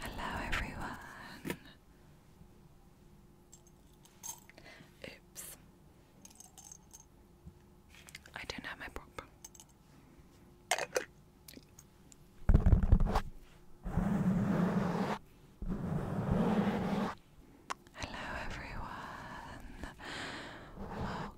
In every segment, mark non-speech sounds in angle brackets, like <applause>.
Hello, everyone. Oops. I don't have my prop. Hello, everyone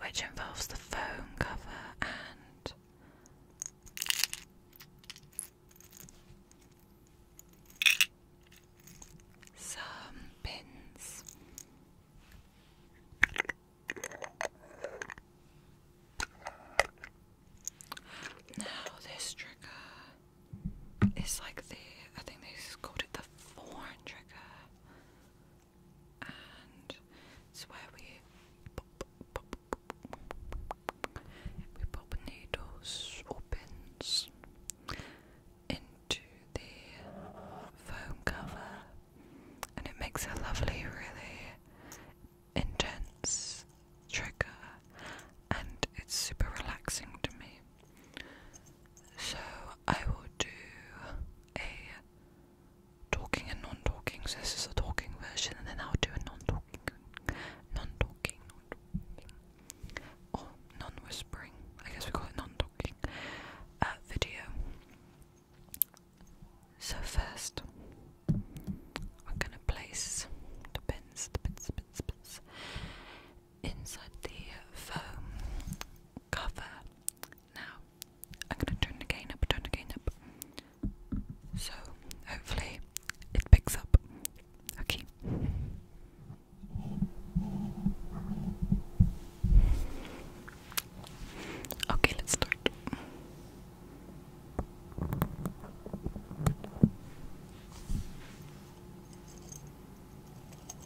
which involves the foam cover and some pins. Now, this trigger it's like the I think they called it the foam trigger, and it's where we we pop needles or pins into the foam cover, and it makes a lovely, really intense trigger, and it's super relaxing to me. So I will do a talking and non-talking. So this is a talking version, and then I'll do a non-talking, non-talking, non whispering I guess we call it non-talking uh, video. So first, we're gonna place the pins, the pins, pins, pins inside the foam um, cover. Now, I'm going to turn the gain up, turn the gain up. So, hopefully, it picks up. Okay. Okay, let's start.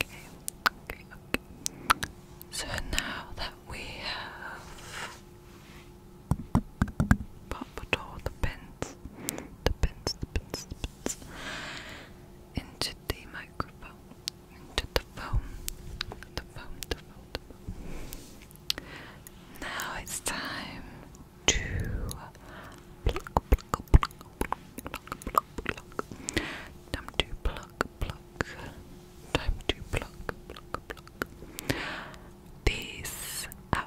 Okay, okay, okay. So now that we have popped all the pins, the pins, the pins, the pins into the microphone, into the phone, the foam, the foam, the foam. Now it's time to pluck, pluck. Time to pluck, pluck. Time to pluck, pluck, pluck. These out.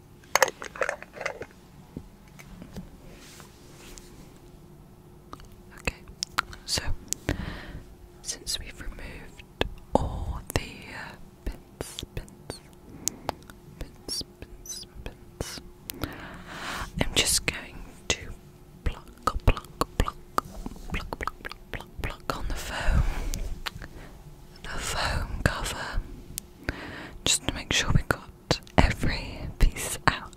Okay, so since we've removed all the uh, pins, pins, pins, pins, pins, I'm just going to pluck, pluck, pluck, pluck, pluck, pluck, pluck, pluck on the foam the foam cover just to make sure we got every piece out.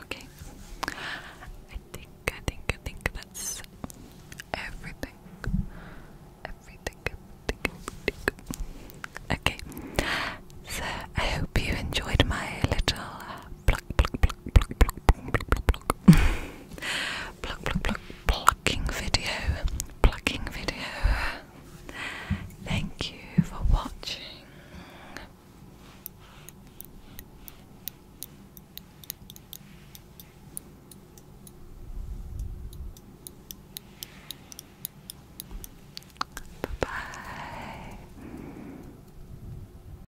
Okay. I think I think I think that's everything. Everything, everything, everything. Okay. So I hope you enjoyed my little <laughs> pluck. pluck, pluck, plucking video. Plucking video. Thank you for watching. Bye bye.